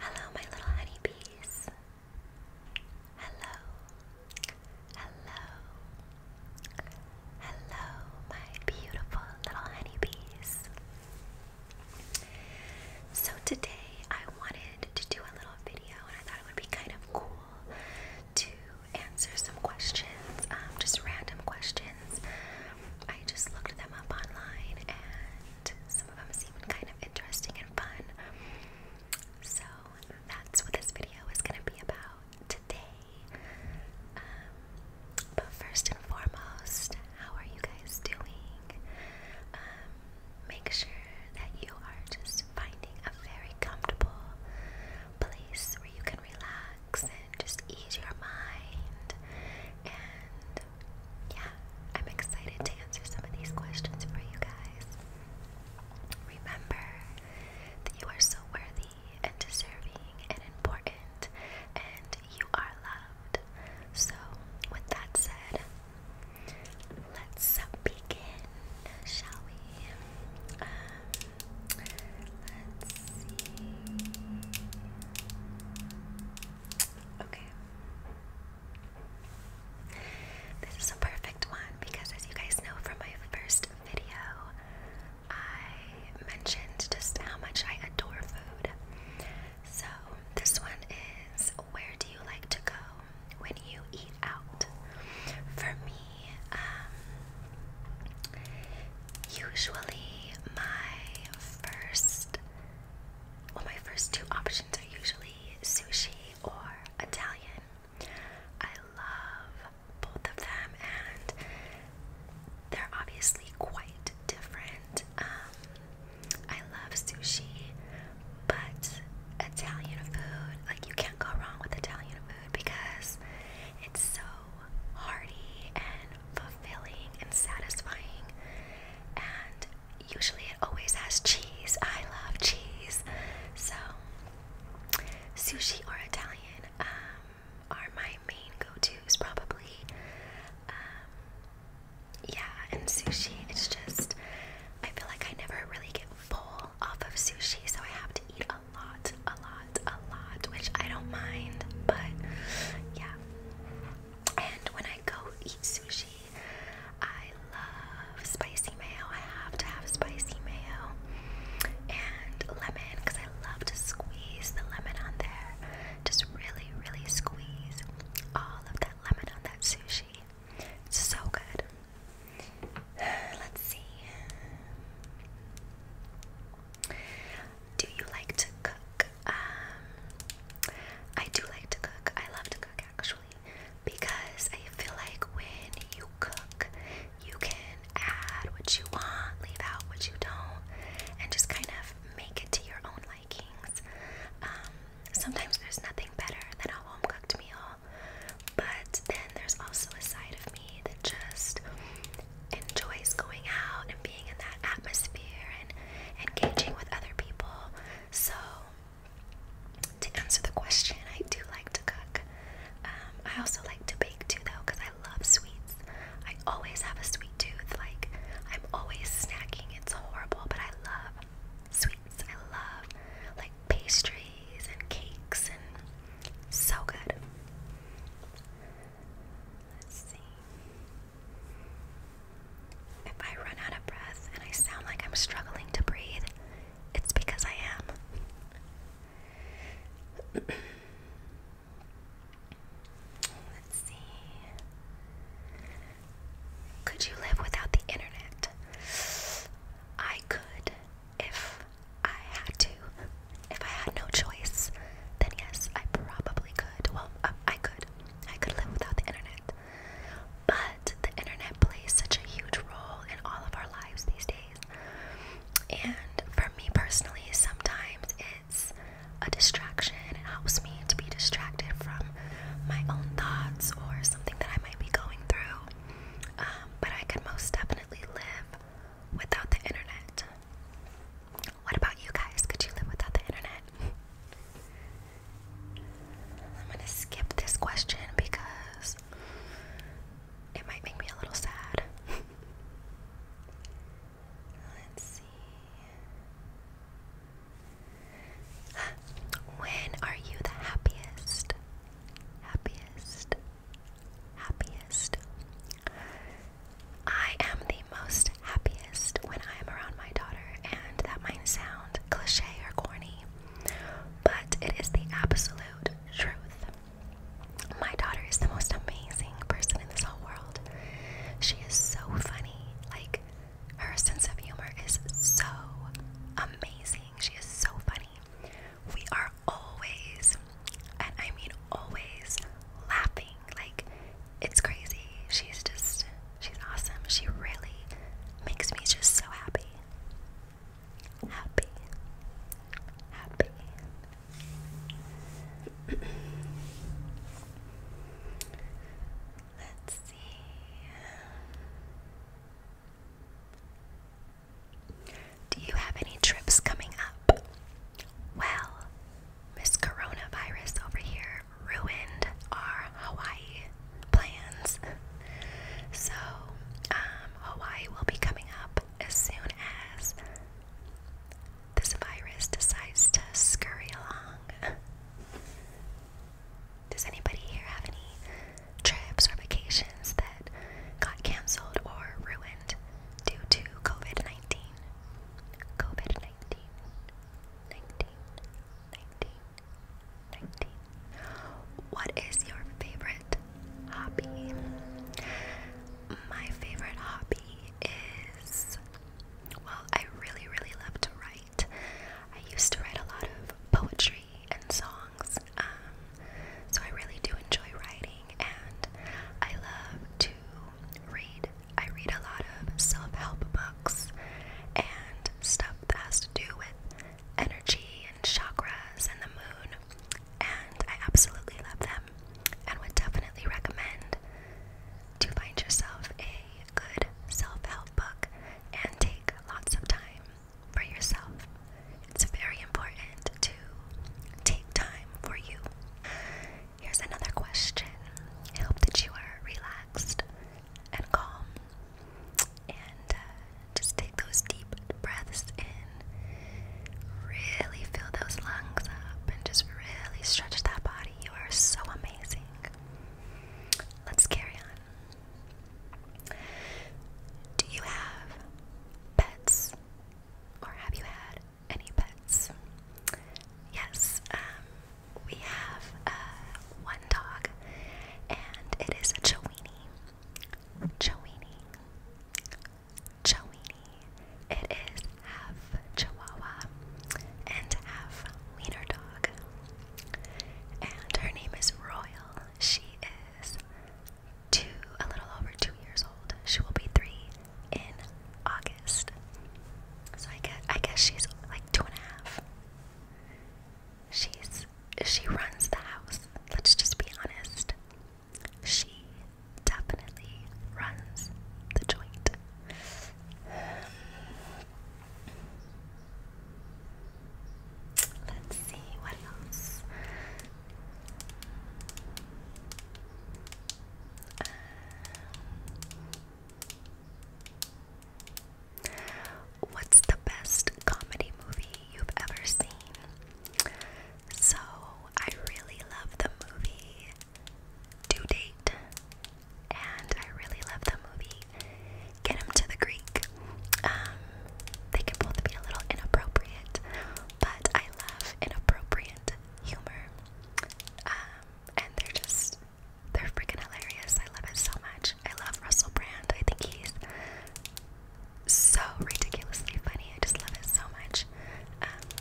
Hello, my little honeybees. Hello. Hello. Hello, my beautiful little honeybees. So, today I wanted to do a little video, and I it would be kind of cool to answer some questions, um, just random questions. I just looked them up online and some of them seemed kind of interesting and fun. So that's what this video is going to be about today. Um, but first and foremost, how are you guys doing? Um, make sure that you are just finding a very comfortable place where you can relax and just ease your mind. And yeah, I'm excited to answer some of these questions for you guys. Remember that you are so worthy and deserving and important, and you are loved. So, with that said, Let's begin, shall we? Um, let's see. Okay. This is a perfect one because, as you guys know from my first video, I mentioned just how much I adore food. So, this one is where do you like to go when you eat out. For me, um, usually my first, well, my first two options are usually sushi or Italian. I love both of them, and they're obviously quite different. Um, I love sushi, but Italian food, like you can't go wrong with Italian food because it's so hearty and fulfilling and satisfying. And usually it always has cheese. I love cheese. So, sushi or Italian um, are my main go tos probably. Um, yeah, and sushi, it's just, I feel like I never really get full off of sushi, so I have to eat a lot, a lot, a lot, which I don't mind, but yeah. And when I go eat sushi, I love spicy mayo. I have to have spicy mayo and lemon because I love to squeeze the lemon on there. Just really, really squeeze all of that lemon on that sushi. It's so good. Let's see. Do you like to cook? Um, I do like to cook. I love to cook actually because I feel like when you cook, you can add what you want, leave out what you don't, and just kind of make it to your own likings. Um, sometimes there's nothing better than a home cooked meal, but then there's also a side of me that just enjoys going out and being in that atmosphere and engaging with other people. So, to answer the question, I do like to cook. Um, I also like to bake too, though, because I love sweets. I always have a sweet tooth. Like, I'm always snacking. It's horrible, but I love sweets. I love like pastries and cakes and so good. Let's see. If I run out of breath and I sound like I'm struggling to breathe, it's because I am. Let's see. Could you live without the internet? I could if I had to. If I had no choice, then yes, I probably could. Well, uh, I could. I could live without the internet. But the internet plays such a huge role in all of our lives these days. And for me personally, sometimes it's a distraction. It helps me to be distracted from my own thoughts or something that I might be going through. Um, but I could most definitely live without the internet. What about you guys? Could you live without the internet? I'm going to skip this question because it might make me a little sad. Let's see. When are you the happiest? Happiest? Happiest? I am the most happiest when I am around my daughter, and that might sound cliche or corny, but it is the absolute truth. My daughter is the most amazing person in this whole world. She is so funny. Like, her sense of humor is so amazing. She is so funny. We are always, and I mean always, laughing. Like, it's crazy. She's just, she's awesome. She really makes me just so happy. Happy. Happy. Let's see. Do you have any trips coming up? Well, Miss Coronavirus over here ruined our Hawaii plans. So, um, Hawaii will be coming up as soon as this virus decides to scurry along. Does anybody here have any trips or vacations that got canceled or ruined due to COVID 19? COVID 19, What is your favorite hobby? My favorite hobby is well, I really, really love to write. I used to write a lot of poetry and songs, um, so I really do enjoy writing, and I love to read. I read a lot of self help books and stuff that has to do with energy and chakras and the moon, and I absolutely love them and would definitely recommend to find yourself a good self help book and take lots of time for yourself. It's very important to take time for you. Here's another question. I hope that you are relaxed and calm. And uh, just take those deep breaths in. Really fill those lungs up and just really stretch that body. You are so amazing. Let's carry on. Do you have pets? Or have you had any pets? Yes, um, we have uh, one dog, and it is a Chowini. Chowini. It is half Chihuahua and half wiener dog. And her name is Royal. She is two, a little over two years old. She will be three in August. So I guess I guess she's like two and a half. She's she runs the house. Let's just be honest. She definitely runs the joint. Um, let's see what else. Um, what's the best comedy movie you've ever seen? So, I really love the movie Due Date, and I really love the movie Get Him to the Greek. Um, they can both be a little inappropriate, but I love inappropriate humor. Um, and they're just, they're freaking hilarious. I love it so much. I love Russell Brand. I think he's so ridiculously funny. I just love it so much. Um,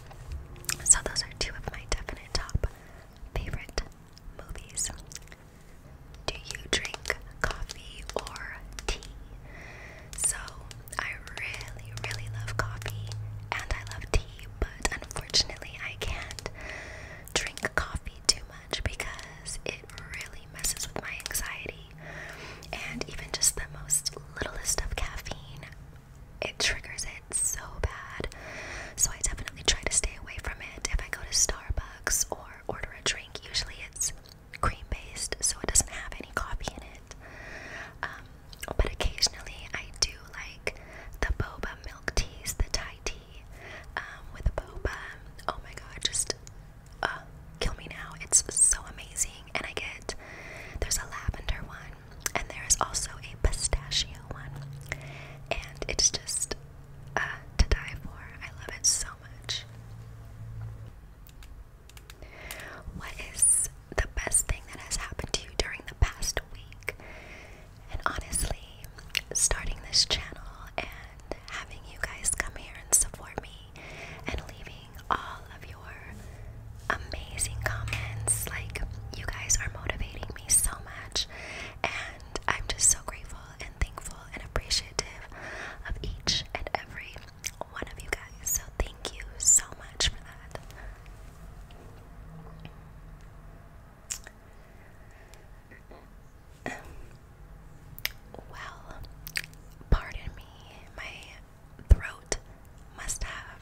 so those are two of my definite top favorite movies. Do you drink coffee or tea? So I really, really love coffee and I love tea, but unfortunately I can't drink coffee too much because it really messes with my anxiety. And even just the most littlest of caffeine it triggers it so bad. So I definitely try to stay away from it. If I go to Starbucks or order a drink, usually it's cream based, so it doesn't have any coffee in it. Um, but occasionally I do like the boba milk teas, the Thai tea um, with boba. Oh my god, just uh, kill me now. It's so amazing. And I get there's a lavender one and there is also a pistachio one, and it's just uh, to die for. I love it so much. What is the best thing that has happened to you during the past week? And honestly, starting this channel and having you guys come here and support me and leaving all all of your amazing comments. Like, you guys are motivating me so much, and I'm just so grateful and thankful and appreciative of each and every one of you guys. So, thank you so much for that. Well, pardon me, my throat must have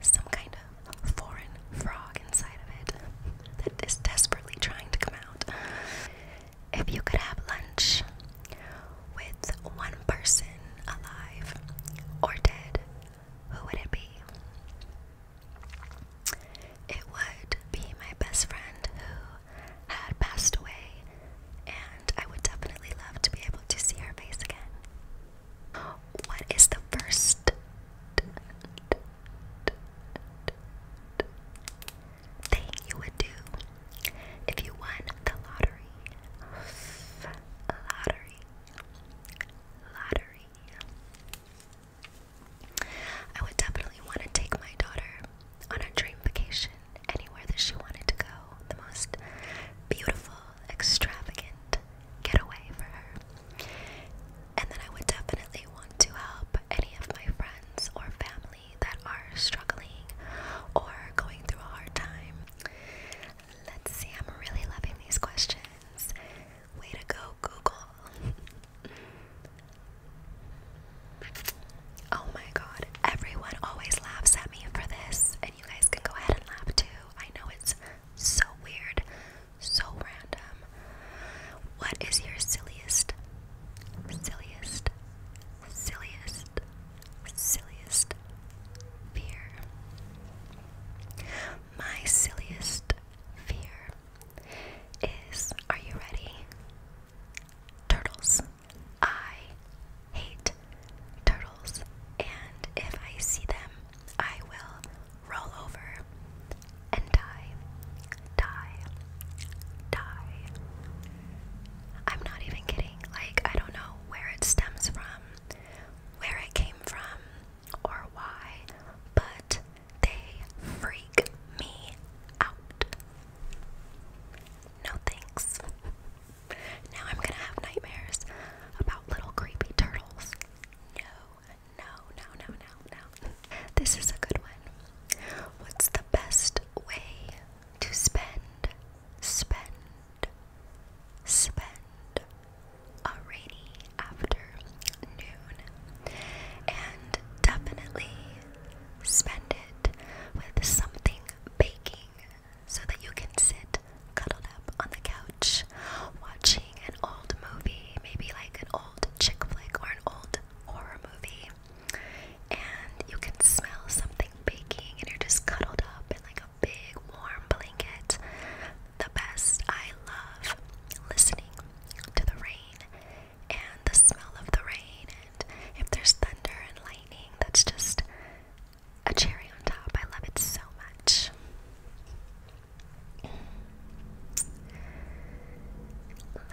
some kind of foreign frog inside of it that is desperately trying to come out. If you could have lunch with one person alive or dead, who would it be? It would be my best friend who had passed away, and I would definitely love to be able to see her face again. What is the first? Thing you would do if you won the lottery. Lottery. Lottery. I would definitely want to take my daughter on a dream vacation anywhere that she wanted to go. The most beautiful, extravagant, perfect getaway for her. And then I would definitely want to help any of my friends or family that are struggling or going through a hard time. Let's see, I'm really loving these questions. Way to go, Google. Oh my god, everyone always laughs at me for this, you guys can go ahead and laugh too. I know it's so weird, so random. What is your silliest, silliest, silliest, silliest fear? My silliest fear is are you ready? Turtles. I hate turtles, and if I see them, I will roll over and die, die, die. I'm not even kidding. Like, I don't know where it stems from, where it came from, or why, but they freak me out. No thanks. Now I'm gonna have nightmares about little creepy turtles. No, no, no, no, no, no. This is a good one. What's the best way to spend, spend, spend a rainy afternoon? And definitely spend it with something baking so that you can sit cuddled up on the couch watching an old movie, maybe like an old chick flick or an old horror movie, and you can smell something baking and you're just cuddled up in like a big warm blanket. The best. I love listening to the rain and the smell of the rain, and if there's thunder and lightning, that's just a cherry on top. I love it so much.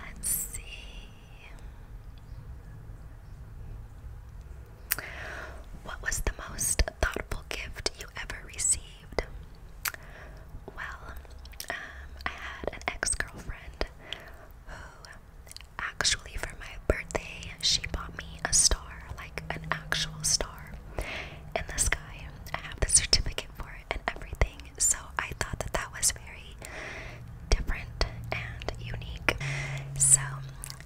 Let's see. What was the most thoughtful gift you ever received? Well, um, I had an ex girlfriend who Actually, for my birthday, she bought me a star, like an actual star in the sky. I have the certificate for it and everything, so I thought that that was very different and unique. So,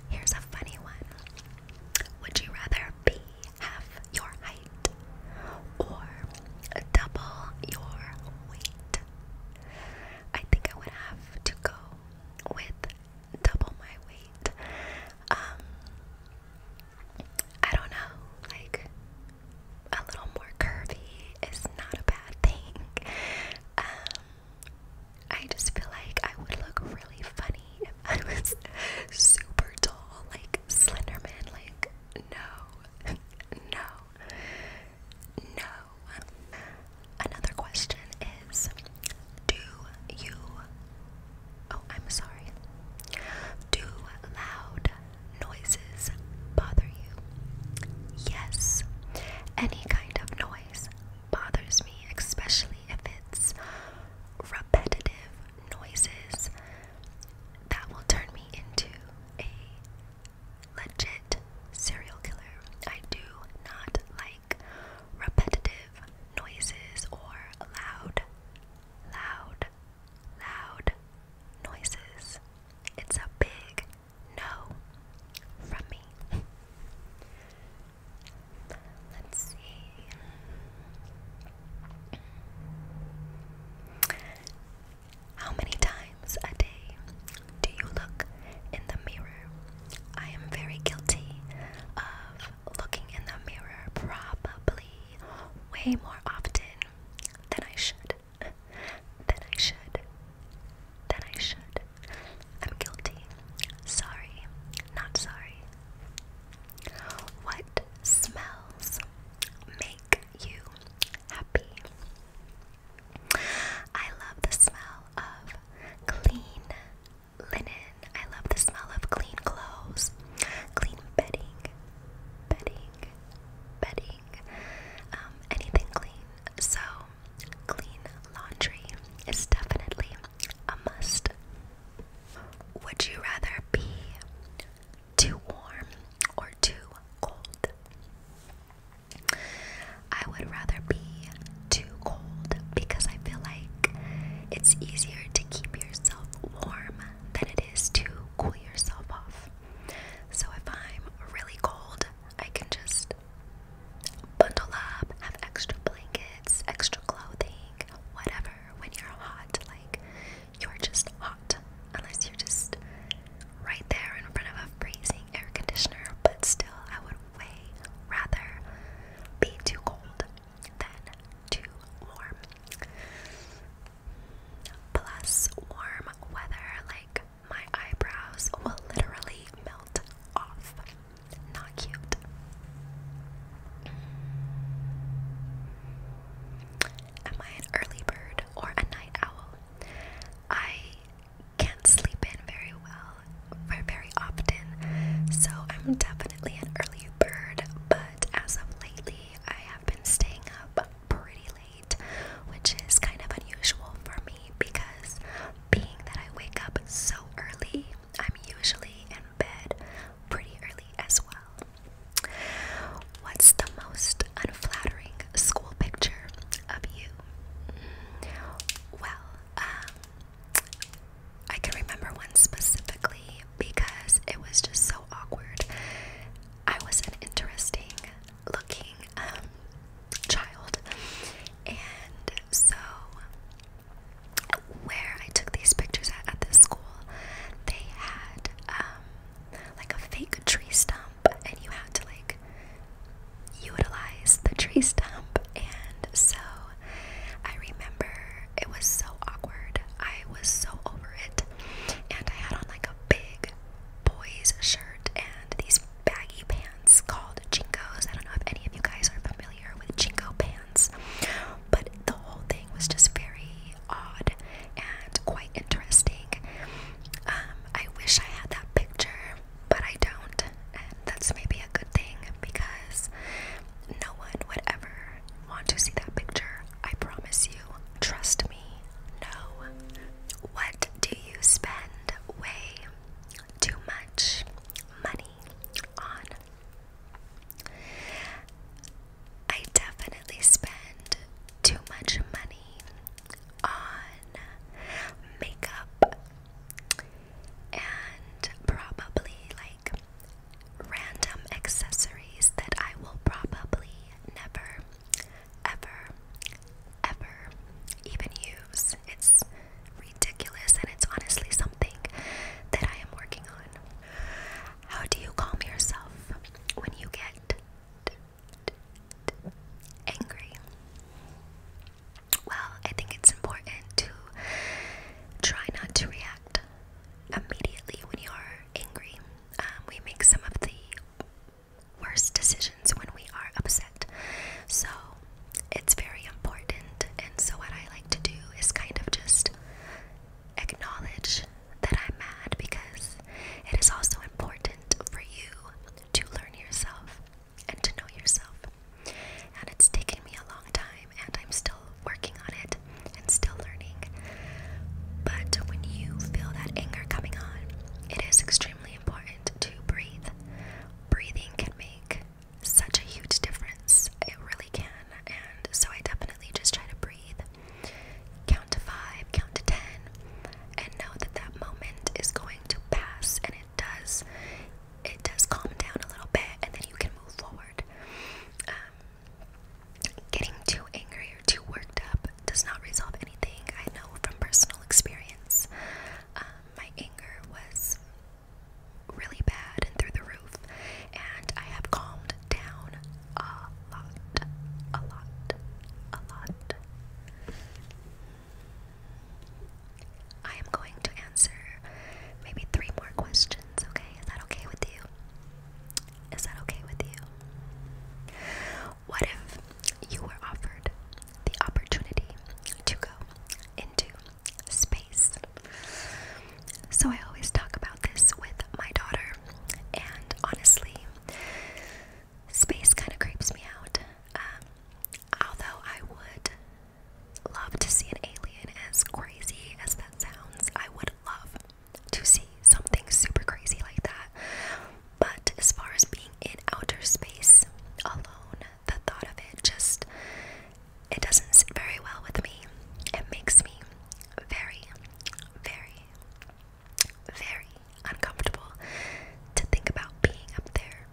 here's a funny one Would you rather be half your height or double your weight? I think I would have to go with double my weight. Um, I don't know, like a little more curvy is not a bad thing. Um, I just feel like I would look really funny if I was super tall, like Slenderman. Like, no, no, no. Another question is Do you, oh, I'm sorry, do loud noises bother you? Yes, any kind of noise bothers me, especially if it's repetitive noises that will turn me into a legit serial killer. I do not like repetitive noises or loud, loud, loud noises. It's a big no from me. Let's see. How many times a day do you look in the mirror? I am very guilty of looking in the mirror probably way more often than I should. Than I should. Than I should. I'm guilty. Sorry. Not sorry. What smells make you happy? I love the smell of clean linen. I love the smell of clean clothes, clean bedding, bedding, bedding, um, anything clean. So, clean laundry is definitely a must. Would you rather be too warm or too cold? I would rather be too cold because I feel like it's easier to keep yourself warm than it is to cool yourself off. So if I'm really cold, I can just bundle up, have extra blankets, extra clothing, whatever. When you're hot, like you're just hot unless you're just right there in front of a freezing air conditioner, but still, I would way rather be too cold than too warm. Plus, warm weather, like my eyebrows will literally melt off. Not cute. Am I an early bird or a night owl? I can't sleep in very well or very often, so I'm definitely an early bird. But as of lately, I have been staying up pretty late, which is kind of unusual for me because being that I wake up so early, I'm usually in bed pretty early as well. What's the most unflattering school picture of you? Well, um, I can remember one specifically because it was just so awkward. I was an interesting looking um, child, and so where I took these pictures at, at this school, they had um, like a fake tree stump and you had to like utilize the tree stump. And so I remember it was so awkward. I was so over it. And I had on like a big boys shirt and these baggy pants called Jinkos. I don't know if any of you guys are familiar with jingo pants, but the whole thing was just very odd and quite interesting. Um, I wish I had that picture, but I don't, that's maybe a good thing because no one would ever want to see that picture. I promise you. Trust me. No. What do you spend way too much money on? I definitely spend too much money on makeup and probably like random accessories that I will probably never, ever, ever even use. It's ridiculous and it's honestly something that I am working on. How do you calm yourself when you get angry? Well, I think it's important to try not to react immediately when you are angry. Um, we make some of the worst decisions when we are upset. So it's very important. And so, what I like to do is kind of just acknowledge that I'm mad because it is also important for you to learn yourself and to know yourself. And it's taken me a long time, and I'm still working on it and still learning. But when you feel that anger coming on, it is extremely important to breathe. Breathing can make such a huge difference, it really can. And so I definitely just try to breathe count to five, count to ten, and know that that moment is going to pass, and it does. It does calm down a little bit, and then you can move forward. Um, getting too angry or too worked up does not resolve anything. I know from personal experience, um, my anger was really bad and through the roof, and I have calmed down lot, a lot, a lot. I am going to answer maybe three more questions, okay? Is that okay with you? Is that okay with you? What if you were offered the opportunity to go into space? So, I always talk about this with my daughter, and honestly, Space kind of creeps me out. Um, although I would love to see an alien, as crazy as that sounds, I would love to see something super crazy like that. But as far as being in outer space alone, the thought of it just it doesn't sit very well with me. It makes me very, very, very uncomfortable to think about being up there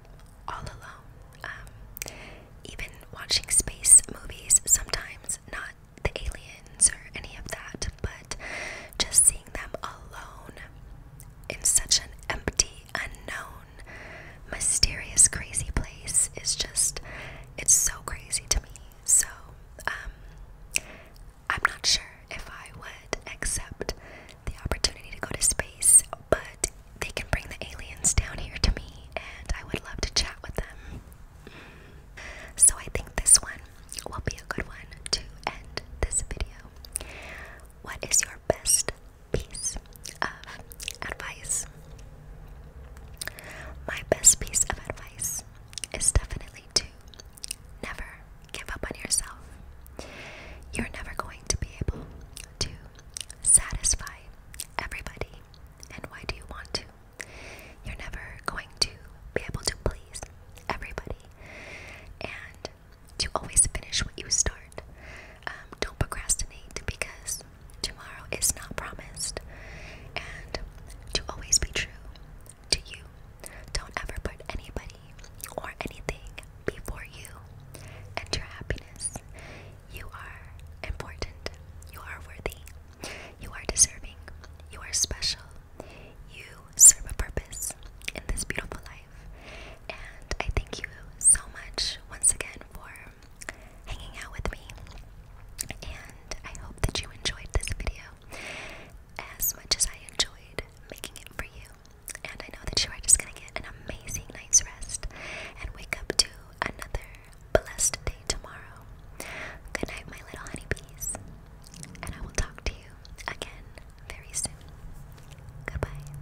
all alone. Um, even watching space movies sometimes, not the aliens or any of that, but just seeing them alone in such an empty, unknown, mysterious, crazy place is just, it's so crazy to me. So, um, I'm not sure if I would accept the opportunity to go to space, but they can bring the aliens down here to me and I would love to chat with them. So I think this one will be a good one to end this video. What is your best piece of advice? My best piece of advice is definitely to never give up on yourself. You're never going to be able to satisfy everybody. And why do you want to? You're never going to be able to please everybody. And to always finish what you start. Um, don't procrastinate because tomorrow is not promised. And to always be true to you. Don't ever put anybody or anything before you and your happiness. You are important. You are worthy. You are deserving. You are special. You serve a purpose in this beautiful life. And I thank you so much once again for hanging out with me. And I hope that you enjoyed this video as much as I enjoyed making it for you, and I know that you are just gonna get an amazing night's rest and wake up to another blessed day tomorrow. Good night, my little honeybees, and I will talk to you again very soon. Goodbye.